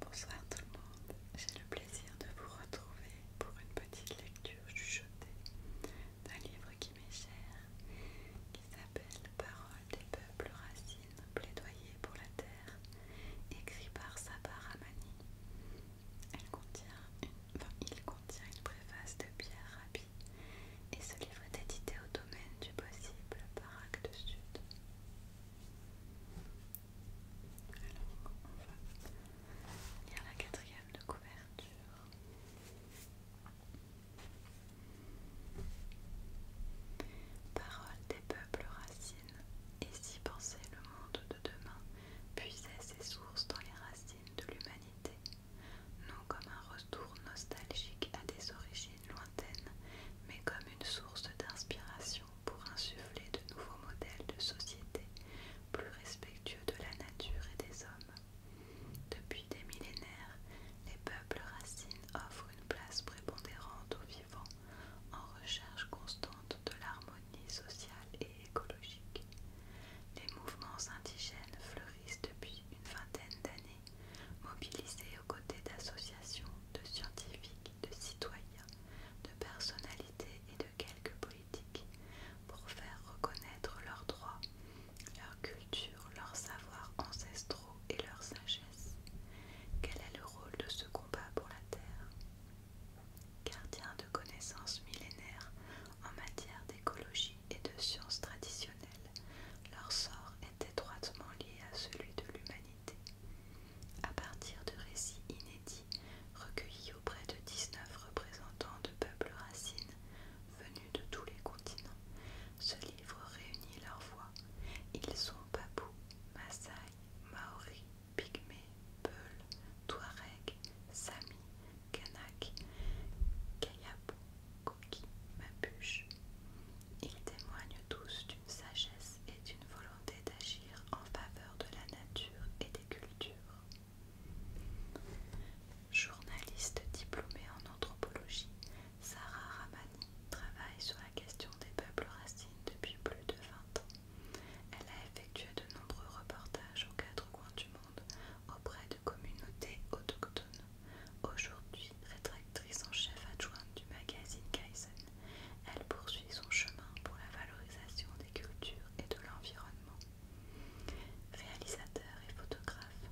Bonsoir tout le monde, j'ai le plaisir de vous retrouver pour une petite lecture chuchotée d'un livre qui m'est cher, qui s'appelle Paroles des peuples racines, plaidoyer pour la terre, écrit par Sabah Ramani. Elle contient une, il contient une préface de Pierre Rabhi et ce livre est édité au domaine du possible par acte Sud. Alors, on va lire la quatrième de couverture. Parole des peuples racines, et si penser le monde de demain puisait ses sources dans les racines de l'humanité, non comme un retour nostalgique à des origines lointaines, mais comme une source d'inspiration pour insuffler de nouveaux modèles de société plus respectueux de la nature et des hommes. Depuis des millénaires, les peuples racines offrent une place prépondérante aux vivants en recherche constante de l'harmonie sociale et écologique. Les mouvements indigènes fleurissent depuis une vingtaine d'années Mobiliser aux côtés d'associations, de scientifiques, de citoyens, de personnalités et de quelques politiques pour faire reconnaître leurs droits, leur culture, leurs savoirs ancestraux et leur sagesse. Quel est le rôle de ce combat pour la Terre Gardien de connaissances millénaires en matière d'écologie, et de sciences traditionnelles, leur sort est étroitement lié à celui de l'humanité. À partir de récits inédits recueillis auprès de 19 représentants de peuples racines venus de tous les continents, ce livre réunit leurs voix. Ils sont Papou, Maasai, Maori, Pygmées, Peul, Touareg, Sami, Kanak, kayapo coquille, Mapuche. bûche. Ils témoignent tous d'une sagesse et d'une volonté d'agir en faveur de la nature et des cultures. Journaliste diplômée en anthropologie, Sarah Ramani travaille sur la question des peuples racines depuis plus de 20 ans. Elle a effectué de nombreux reportages aux quatre coins du monde auprès communauté autochtone, aujourd'hui rétractrice en chef adjointe du magazine Kaizen. Elle poursuit son chemin pour la valorisation des cultures et de l'environnement. Réalisateur et photographe,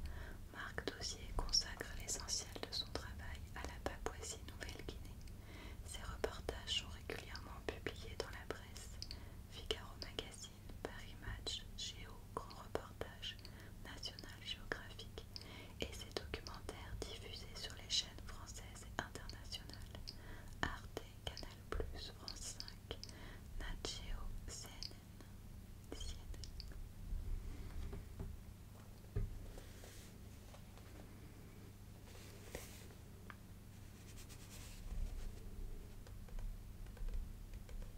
Marc Dossier consacre l'essentiel de son travail à la Papouasie-Nouvelle-Guinée. Ses reportages sont régulièrement publiés dans la presse, Figaro Magazine, Paris Match, Géo, Grand Reportage, National Geographic, et ses documentaires diffusés sur les chaînes françaises et internationales Arte, Canal+, France 5, Nat CNN.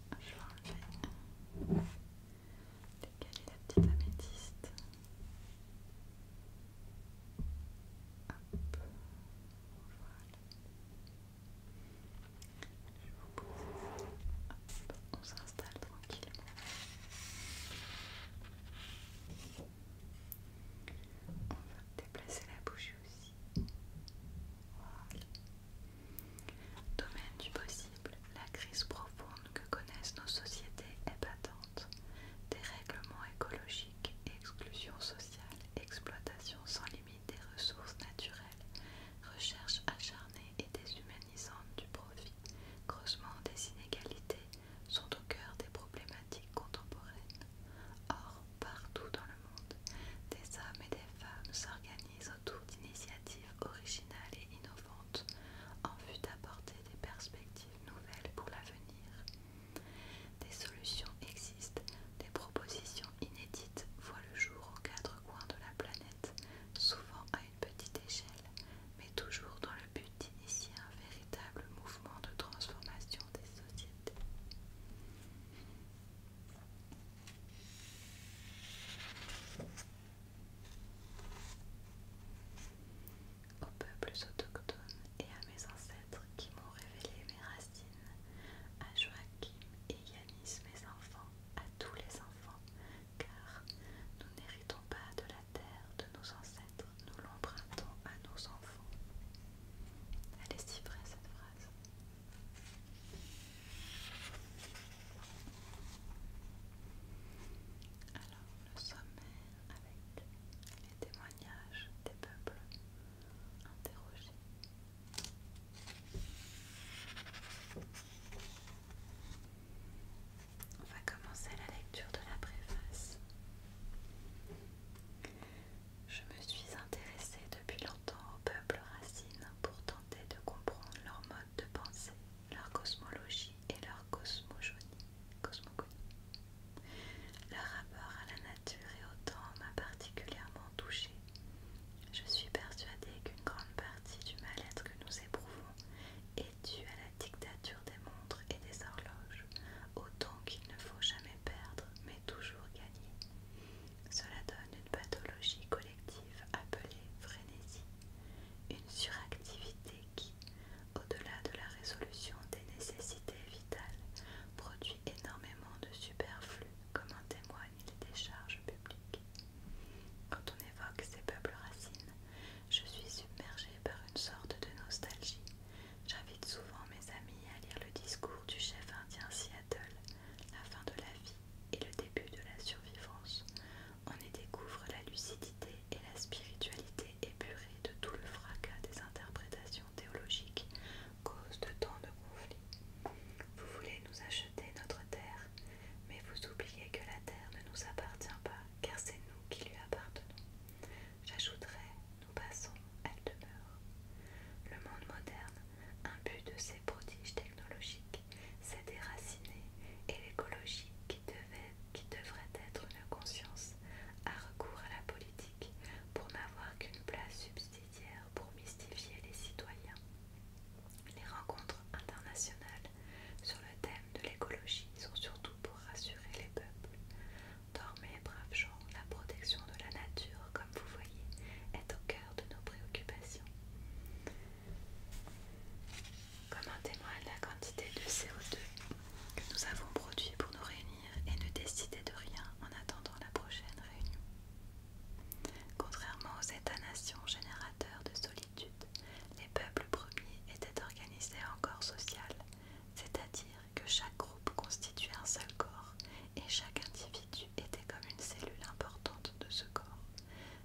je vais enlever décaler la petite améthyste. Hop, voilà. Je vous pose ça. on s'installe tranquillement. On va déplacer la bouche aussi. Voilà. Domaine du possible, la crise profonde que connaissent nos sociétés est patente. Dérèglement écologique, exclusion sociale, exploitation sans limite des ressources naturelles, recherche acharnée et déshumanisante du profit, creusement des inégalités sont au cœur des problématiques contemporaines. Or, partout dans le des hommes et des femmes s'organisent autour d'initiatives originales et innovantes en vue d'apporter des perspectives nouvelles pour l'avenir. Des solutions existent, des propositions inédites voient le jour aux quatre coins de la planète, souvent à une petite échelle, mais toujours dans le but d'initier un véritable mouvement de transformation des sociétés. Aux peuples autochtones et à mes ancêtres qui m'ont révélé mes racines, à Joachim et Yanis, mes enfants, à tous les enfants, car nous n'héritons pas de la terre de nos ancêtres, nous l'empruntons à nos enfants. Elle est si vraie cette phrase. Alors, le sommaire avec les témoignages des peuples interrogés. On va commencer la lecture de la préface. Je me suis intéressée depuis aux au peuple racine pour tenter de comprendre leur mode de pensée, leur cosmologie et leur cosmogonie. Leur rapport à la nature et au temps m'a particulièrement touchée. Je suis persuadée qu'une grande partie du mal-être que nous éprouvons est due à la dictature des montres et des horloges, autant qu'il ne faut jamais perdre, toujours gagné. Cela donne une pathologie collective appelée frénésie, une suractivité qui, au-delà de la résolution des nécessités vitales, produit énormément de superflu, comme en témoignent les décharges publiques. Quand on évoque ces peuples racines, je suis submergée par une sorte de nostalgie. J'invite souvent mes amis à lire le discours du chef indien Seattle, La fin de la vie et le début de la survivance, on y découvre la lucidité et la spiritualité épurée de tout le fracas des interprétations théologiques, cause de tant de conflits. Vous voulez nous acheter notre terre, mais vous oubliez que la terre ne nous appartient pas, car c'est nous qui lui appartenons. J'ajouterai, nous passons, elle demeure. Le monde moderne un but de ces prodiges technologiques, c'est déraciner et l'écologie qui, qui devrait être une conscience a recours à la politique pour n'avoir qu'une place subsidiaire pour mystifier les citoyens. Les rencontres internationales sur le thème de l'écologie sont surtout pour rassurer les peuples. Dormez, braves gens, la protection de la nature comme vous voyez, est au cœur de nos préoccupations. Comme en de la quantité de CO2 que nous avons produit pour nous réunir et ne décider de rien en attendant la prochaine réunion. Contrairement aux États-nations générateurs de solitude, les peuples premiers étaient organisés en corps social, c'est-à-dire que chaque groupe constituait un seul corps et chaque individu était comme une cellule importante de ce corps.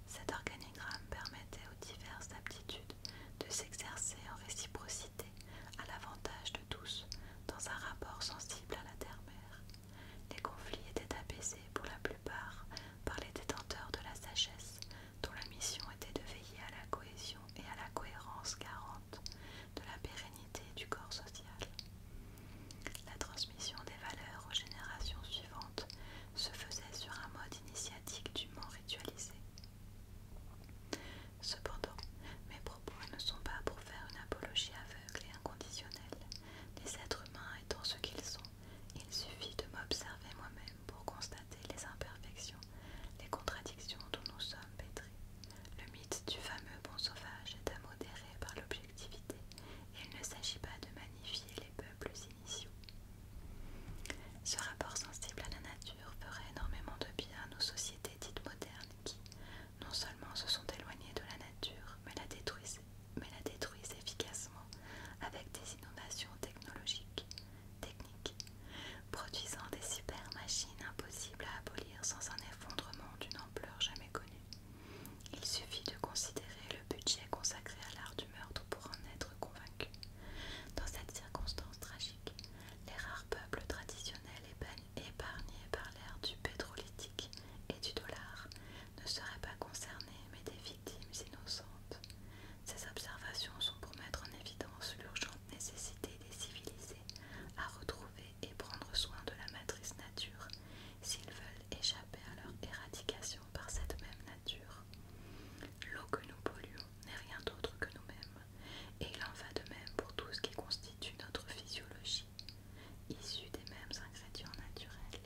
Cet organigramme permettait aux diverses aptitudes de s'exercer en réciprocité à l'avantage de tous dans un rapport sensible à la terre-mère. Les conflits étaient apaisés pour la plupart par les détenteurs de la sagesse dont la mission était de veiller à la cohésion et à la cohérence garante de la pérennité du corps social. La transmission des valeurs aux générations suivantes se faisait sur un mode initiatique dûment ritualisé. Cependant, mes propos ne sont pas pour faire une apologie aveugle et inconditionnelle. Les êtres humains étant ce qu'ils sont, il suffit de m'observer moi-même pour constater les imperfections, les contradictions dont nous sommes pétris. Le mythe du fameux bon sauvage est à par le il ne s'agit pas de magnifier les peuples initiaux. Ce rapport sensible à la nature ferait énormément de bien à nos sociétés dites modernes qui, non seulement se sont éloignées de la nature, mais la détruisent, efficacement avec des innovations technologiques, techniques, produisant des super machines impossibles à abolir sans un effondrement d'une ampleur jamais connue. Il suffit de considérer le budget consacré à l'art du meurtre pour en être convaincu. Dans cette circonstance tragique, les rares peuples traditionnels épargnés par l'ère du pétrolytique et du dollar ne seraient pas concernés mais des victimes innocentes. Ces observations sont pour mettre en évidence l'urgente nécessité des civilisés à retrouver et prendre soin de la matrice nature s'ils veulent échapper à leur éradication par cette même nature. L'eau que nous polluons n'est rien d'autre que nous-mêmes, et il en va de même pour tout ce qui constitue notre physiologie, issue des mêmes ingrédients naturels.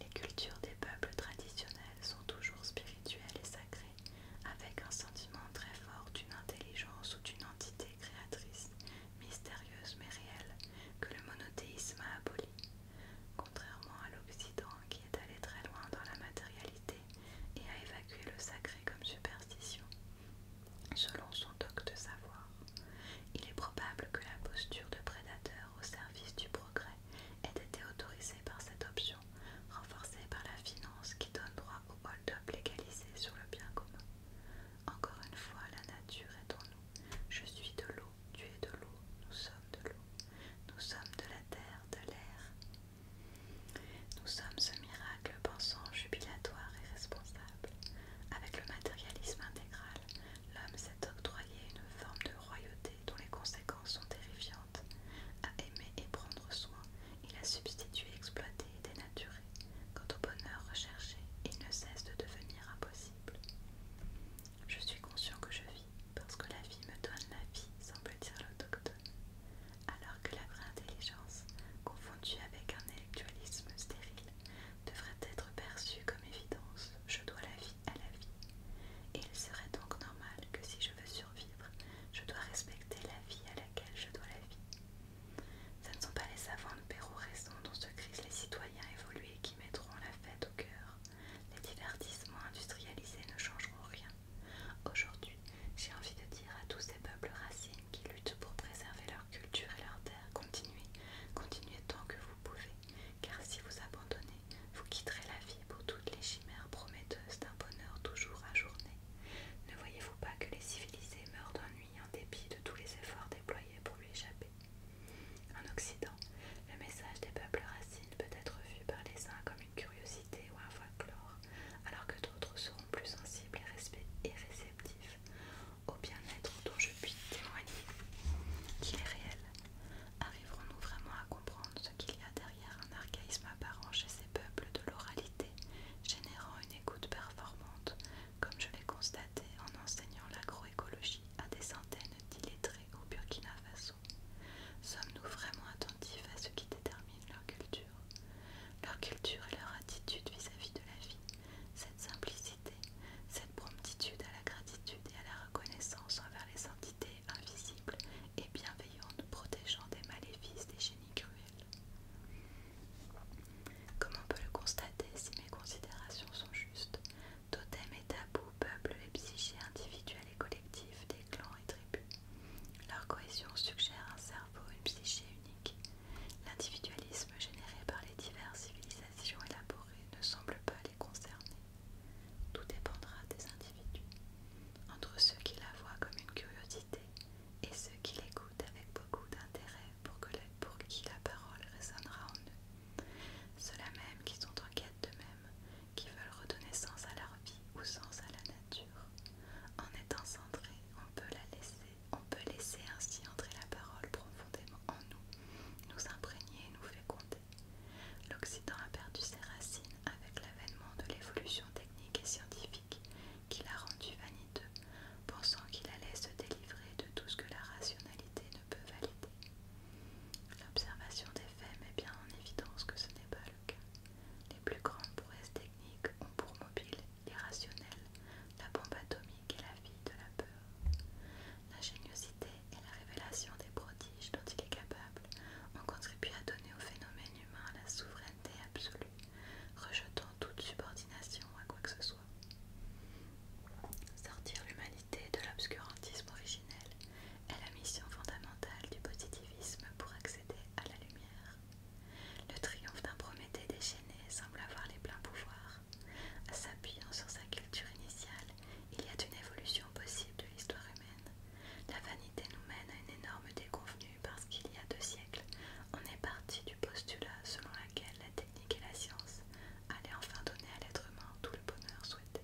Les cultures des peuples traditionnels sont toujours spirituelles et sacrées, avec un sentiment très fort d'une intelligence ou d'une entité créatrice mystérieuse mais réelle, que le monothéisme a abolie, contrairement à l'Occident qui est allé très loin dans la matérialité et a évacué le sacré comme superstition, selon son toc de savoir. Il est probable que la posture de prédateur au service du progrès ait été autorisée par cette option, renforcée par la finance qui donne droit au hold-up légalisé sur le bien commun. Encore une fois, la nature est en nous. Je suis de l'eau, tu es de l'eau, nous sommes de l'eau, nous sommes de la terre, de l'air. Nous sommes ce miracle pensant, jubilatoire et responsable. Avec le matérialisme intégral, l'homme s'est octroyé une forme de royauté dont les conséquences sont terrifiantes. À aimer et prendre soin, il a substitué, exploité et dénaturé. Quant au bonheur recherché, il ne cesse de devenir impossible. Je suis conscient que je vis parce que la vie me donne la vie, semble dire l'autochtone, alors que la vraie intelligence, confondue avec un intellectualisme stérile, devrait être perçue comme évidence. Je dois la vie à la vie. Et il serait donc normal que si je veux survivre, je dois respecter la vie à laquelle je dois la vie. Ce ne sont pas les savants de Pérou raison dont se crise, les citoyens évoluent qui mettront la fête au cœur. Les divertissements industrialisés ne changeront rien. Aujourd'hui, j'ai envie de dire à tous ces peuples racines qui luttent pour préserver leur culture et leur terre, continuez, continuez tant que vous pouvez, car si vous abandonnez, vous quitterez la vie pour toutes les chimères prometteuses d'un bonheur toujours ajourné. Ne voyez-vous pas que les civilisés meurent d'ennui en dépit de tous les efforts déployés pour lui échapper en Occident, le message des peuples racines peut être vu par les uns comme une curiosité ou un folklore, alors que d'autres seront plus sensibles et, et réceptifs au bien-être dont je puis témoigner qu'il est réel. Arriverons-nous vraiment à comprendre ce qu'il y a derrière un archaïsme apparent chez ces peuples de l'oralité, générant une écoute performante, comme je l'ai constaté en enseignant la Écologie à des centaines d'illettrés au Burkina Faso. Sommes-nous vraiment attentifs à ce qui détermine leur culture Leur culture et leur attitude vis-à-vis de la vie, cette simplicité, cette promptitude à la gratitude et à la reconnaissance envers les entités invisibles et bienveillantes protégeant des maléfices des génies cruels. Comme on peut le constater si mes considérations sont justes, Totem et tabou peuple les psychés individuels et collectifs des clans et tribus. Leur cohésion suggère un cerveau, une psyché unique. L'individualisme généré par les diverses civilisations élaborées ne semble pas les concerner. Tout dépendra des individus, entre ceux qui la voient comme une curiosité et ceux qui l'écoutent avec beaucoup d'intérêt pour qui la parole résonnera en eux. Ceux-là même qui sont en quête d'eux-mêmes, qui veulent redonner sens à leur vie ou sens à la nature. En étant centré, on peut la laisser, on peut laisser ainsi entrer la parole profondément en nous, nous imprégner et nous féconder. L'Occident a perdu ses racines avec l'avènement de l'évolution technique et scientifique qui l'a rendu vaniteux, pensant qu'il allait se délivrer de tout ce que la rationalité ne peut valider. L'observation des faits met bien en évidence que ce n'est pas le cas. Les plus grandes prouesses techniques ont pour mobile l'irrationnel, la bombe atomique et la vie de la peur. La géniosité et la révélation des prodiges dont il est capable ont contribué à donner au phénomène humain la souveraineté absolue, rejetant toute subordination à quoi que ce soit. Sortir l'humanité de l'obscurantisme originel est la mission fondamentale du positivisme pour accéder à la lumière. Le triomphe d'un Prométhée déchaîné semble avoir les pleins pouvoirs. S'appuyant sur sa culture initiale, il y a une évolution possible de l'histoire humaine. La vanité nous mène à une énorme déconvenue parce qu'il y a deux siècles, on est parti du postulat selon lequel la et la science allaient enfin donner à l'être humain tout le bonheur souhaité.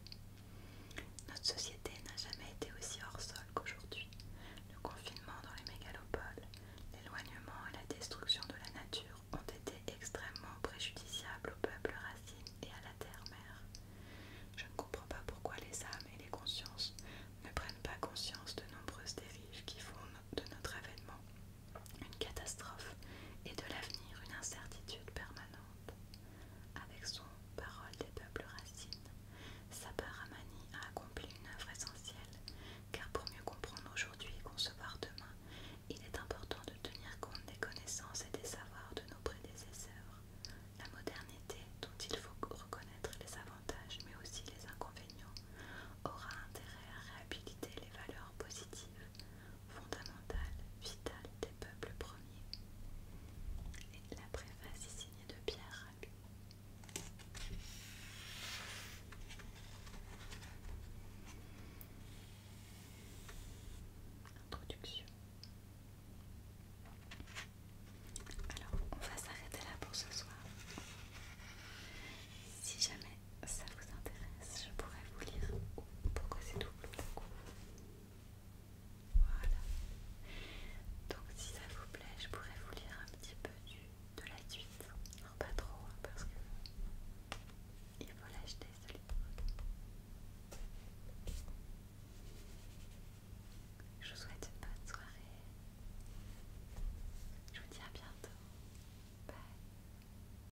Notre société n'a jamais été aussi hors sol qu'aujourd'hui. Le confinement dans les mégalopoles, l'éloignement et la destruction de la nature ont été extrêmement préjudiciables au peuple racine et à la terre-mère. Je ne comprends pas pourquoi les âmes et les consciences ne prennent pas conscience de nombreuses dérives qui font de notre avènement une catastrophe et de l'avenir une incertitude permanente. Avec son Parole des peuples racines, Ramani a accompli une œuvre essentielle, car pour mieux comprendre aujourd'hui et concevoir demain, il est important de tenir compte des connaissances et des savoirs de nos prédécesseurs. La modernité, dont il faut reconnaître les avantages mais aussi les inconvénients, aura intérêt à réhabiliter les valeurs positives fondamentale, vitale des peuples premiers. Et la préface est signée de Pierre Introduction. Alors, on va s'arrêter là pour ce soir. Si jamais ça vous intéresse, je pourrais vous lire oh, pourquoi c'est tout Voilà. Donc si ça vous plaît, je pourrais vous lire un petit peu du, de la suite. pas trop, hein, parce que il faut l'acheter ce livre. Je vous souhaite une bonne soirée. Je vous dis à bientôt. Bye.